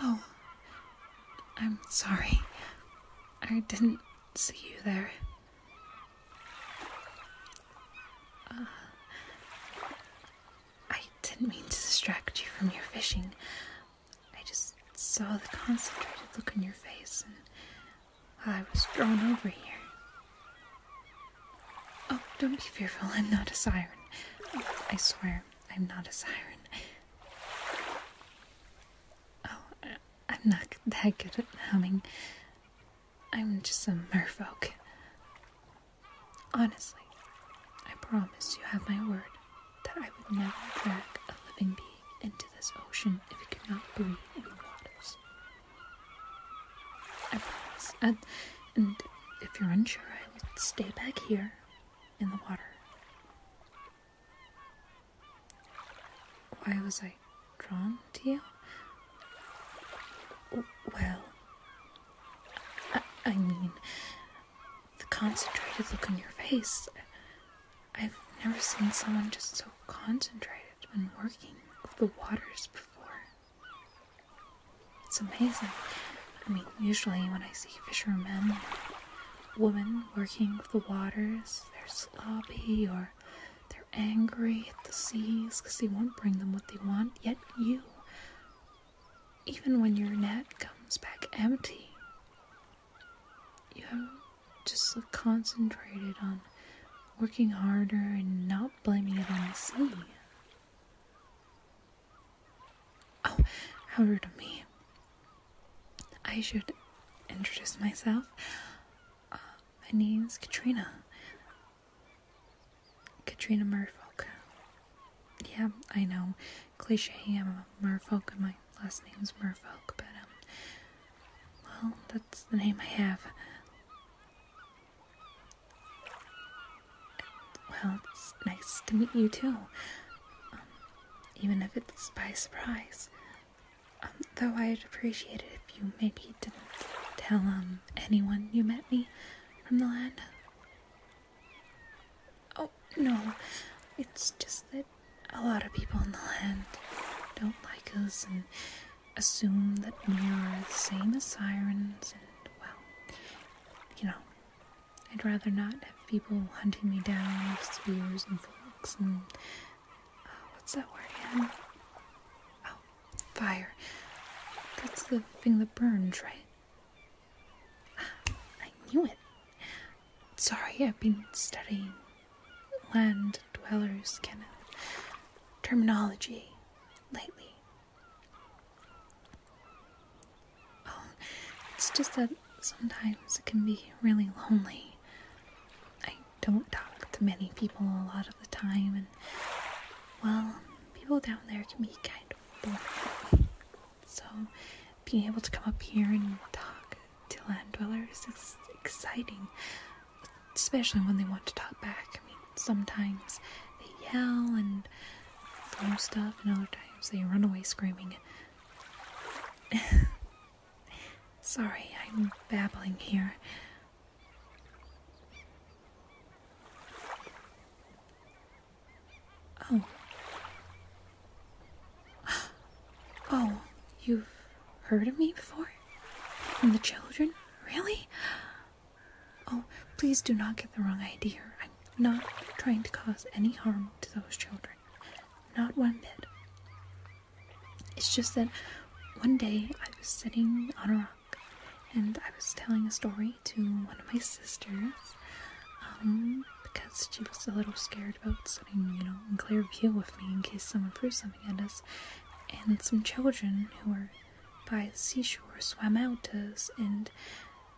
Oh, I'm sorry. I didn't see you there. Uh, I didn't mean to distract you from your fishing. I just saw the concentrated look on your face and I was drawn over here. Oh, don't be fearful. I'm not a siren. I swear, I'm not a siren. Oh, uh, I'm not that good at humming. I'm just a merfolk. Honestly, I promise you have my word that I would never drag a living being into this ocean if it could not breathe in the waters. I promise. And, if you're unsure, I will stay back here in the water. Why was I drawn to you? Well, I, mean, the concentrated look on your face. I've never seen someone just so concentrated when working the waters before. It's amazing. I mean, usually when I see fishermen, women working the waters, they're sloppy or they're angry at the seas because they won't bring them what they want, yet you, even when your net comes back empty, you have just concentrated on working harder and not blaming it on the sea. Oh, how rude of me. I should introduce myself. Um, my name's Katrina. Katrina Murfolk. Yeah, I know. Cliche, I'm a Murfolk, and my last name is Murfolk, but, um, well, that's the name I have. Well, it's nice to meet you too. Um, even if it's by surprise though I'd appreciate it if you maybe didn't tell um anyone you met me from the land. Oh no, it's just that a lot of people in the land don't like us and assume that we are the same as sirens and well, you know, I'd rather not have people hunting me down with spears and forks and what's that word again? Oh, fire. That's the thing that burns, right? Ah, I knew it. Sorry, I've been studying land dwellers kind terminology lately. Oh, it's just that sometimes it can be really lonely. I don't talk to many people a lot of the time, and well, people down there can be kind of boring. So, being able to come up here and talk to land dwellers is exciting, especially when they want to talk back. I mean, sometimes they yell and throw stuff, and other times they run away screaming. Sorry, I'm babbling here. Oh. Oh, you've heard of me before? From the children? Really? Oh, please do not get the wrong idea. I'm not trying to cause any harm to those children. Not one bit. It's just that one day I was sitting on a rock and I was telling a story to one of my sisters um, because she was a little scared about sitting, you know, in clear view with me in case someone threw something at us. And some children who were by the seashore swam out to us and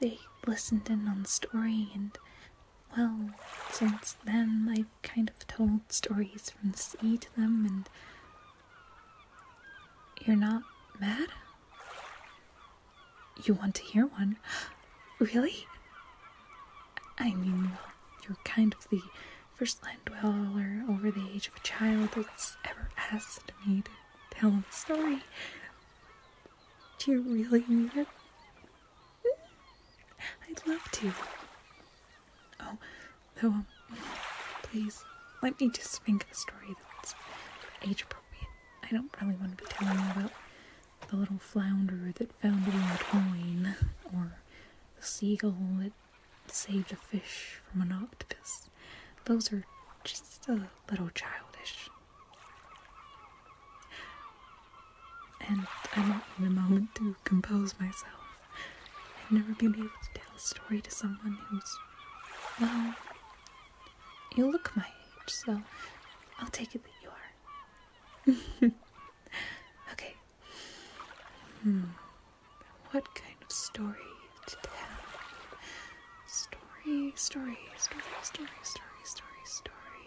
they listened in on the story and well, since then I've kind of told stories from the sea to them, and. You're not mad? You want to hear one? Really? I mean, you're kind of the first land dweller over the age of a child that's ever asked me to tell a story. Do you really mean it? I'd love to. Oh, though, um, please let me just think of a story that's age appropriate. I don't really want to be telling you about the little flounder that found a little coin, or the seagull that saved a fish from an octopus. Those are just a little childish and I'm not in a moment to compose myself. I've never been able to tell a story to someone who's, well, you look my age, so I'll take it that you are. okay. Hmm. What kind of story to tell? Story, story, story, story, story, story, story.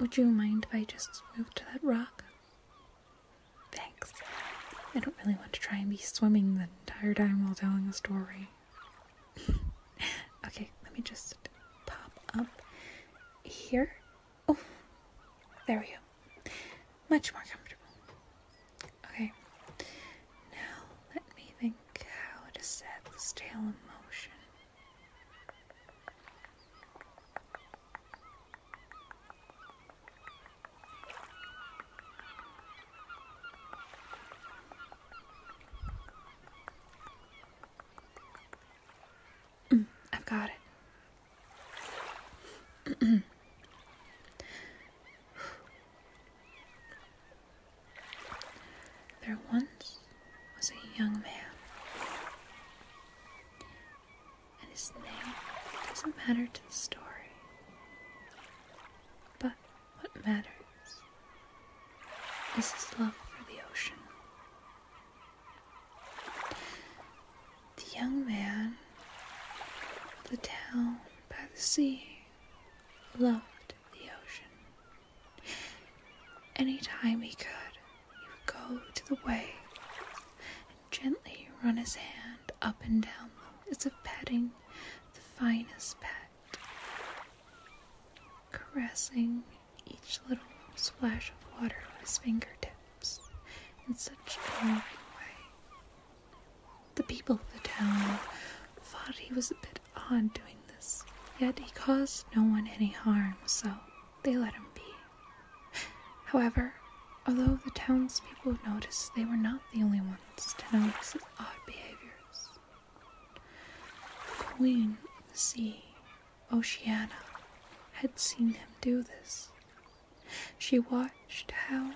Would you mind if I just move to that rock? Thanks. I don't really want to try and be swimming the entire time while telling a story. okay, let me just pop up here. Oh, there we go. Much more comfortable. Okay, now let me think how to set this tail in motion. Mm, I've got it. There once was a young man, and his name doesn't matter to the story. But what matters is his love for the ocean. The young man of the town by the sea loved the ocean. Anytime he could, he would go to the wave and gently run his hand up and down it as if petting the finest pet, caressing each little splash of water with his fingertips in such a loving way. The people of the town thought he was a bit odd doing this, yet he caused no one any harm, so they let him be. However, although the townspeople noticed they were not the only ones to notice odd behaviors, the queen of the sea, Oceana, had seen him do this. She watched how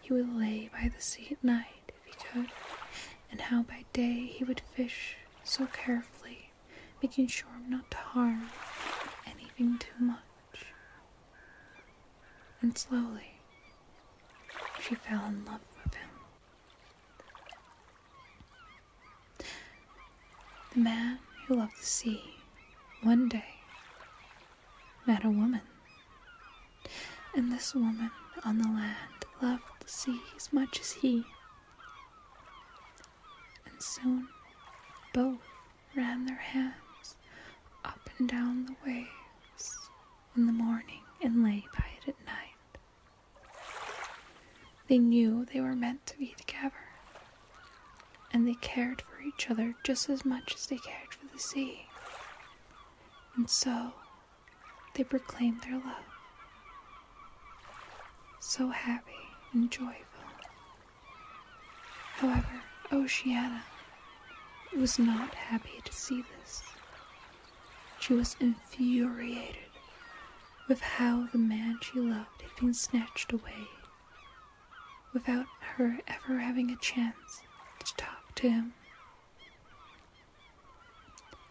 he would lay by the sea at night he could, and how by day he would fish so carefully, making sure not to harm anything too much. And slowly, she fell in love with him. The man who loved the sea one day met a woman, and this woman on the land loved the sea as much as he. And soon both ran their hands up and down the waves in the morning and lay by it at night. They knew they were meant to be together, and they cared for each other just as much as they cared for the sea. And so they proclaimed their love. So happy and joyful. However, Oceana was not happy to see this. She was infuriated with how the man she loved had been snatched away without her ever having a chance to talk to him.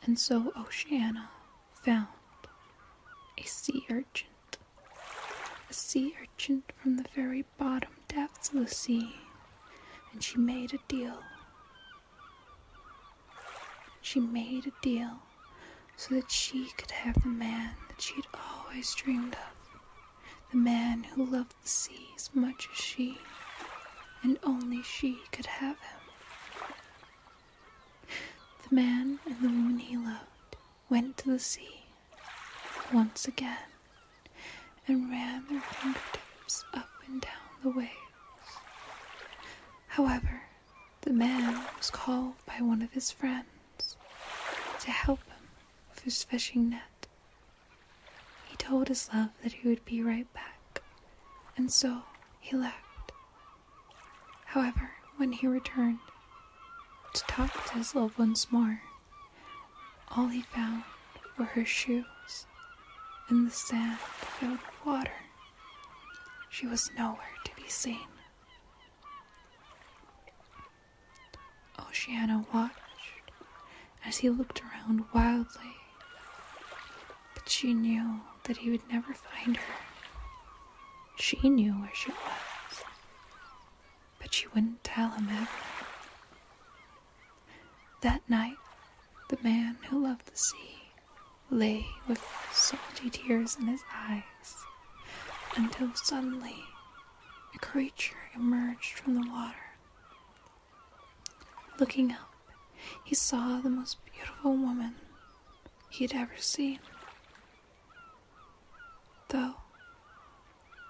And so Oceana found a sea urchin, a sea urchin from the very bottom depths of the sea, and she made a deal. She made a deal so that she could have the man that she'd always dreamed of, the man who loved the sea as much as she, and only she could have him. The man and the woman he loved went to the sea once again and ran their fingertips up and down the waves. However, the man was called by one of his friends to help him with his fishing net. He told his love that he would be right back and so he left. However, when he returned to talk to his love once more, all he found were her shoes in the sand filled with water. She was nowhere to be seen. Oceana watched as he looked around wildly, but she knew that he would never find her. She knew where she was. But she wouldn't tell him ever. That night, the man who loved the sea lay with salty tears in his eyes until suddenly a creature emerged from the water Looking up, he saw the most beautiful woman he had ever seen. Though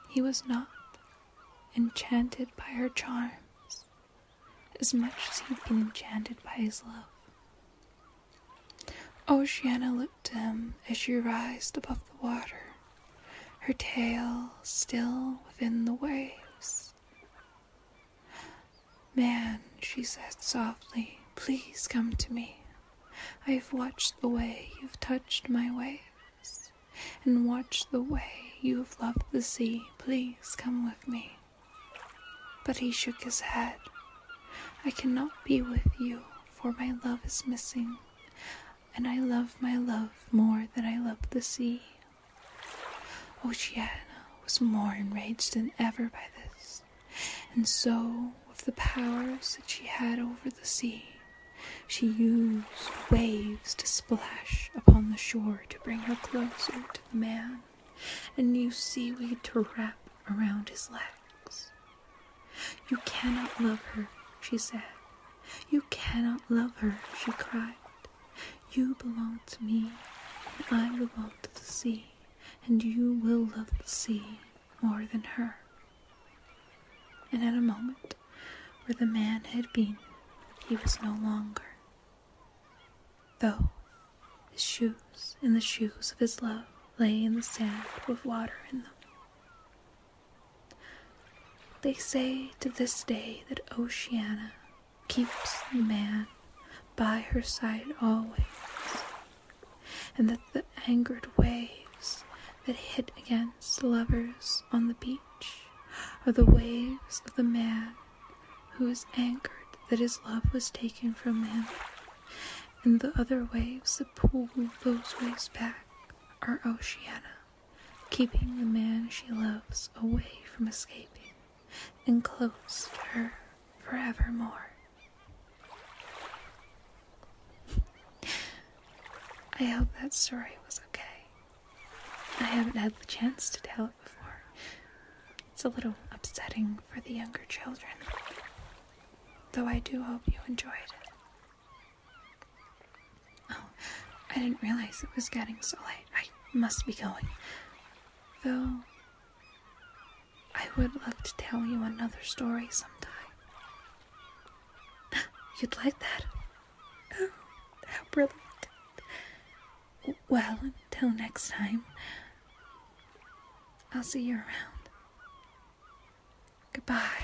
he was not enchanted by her charms as much as he'd been enchanted by his love. Ocean looked to him as she rised above the water, her tail still within the waves. Man, she said softly, please come to me. I've watched the way you've touched my waves, and watched the way you have loved the sea. Please come with me. But he shook his head. I cannot be with you, for my love is missing, and I love my love more than I love the sea. Oceana was more enraged than ever by this, and so, with the powers that she had over the sea, she used waves to splash upon the shore to bring her closer to the man, and used seaweed to wrap around his legs. You cannot love her, she said. You cannot love her, she cried. You belong to me, and I belong to the sea, and you will love the sea more than her. And at a moment where the man had been, he was no longer. Though his shoes and the shoes of his love lay in the sand with water in them. They say to this day that Oceana keeps the man by her side always, and that the angered waves that hit against lovers on the beach are the waves of the man who is angered that his love was taken from him, and the other waves that pull those waves back are Oceana, keeping the man she loves away from escaping enclosed her forevermore. I hope that story was okay. I haven't had the chance to tell it before. It's a little upsetting for the younger children, though I do hope you enjoyed it. Oh, I didn't realize it was getting so late. I must be going. Though, I would love to tell you another story sometime. You'd like that? Oh, how brilliant. Well, until next time, I'll see you around. Goodbye.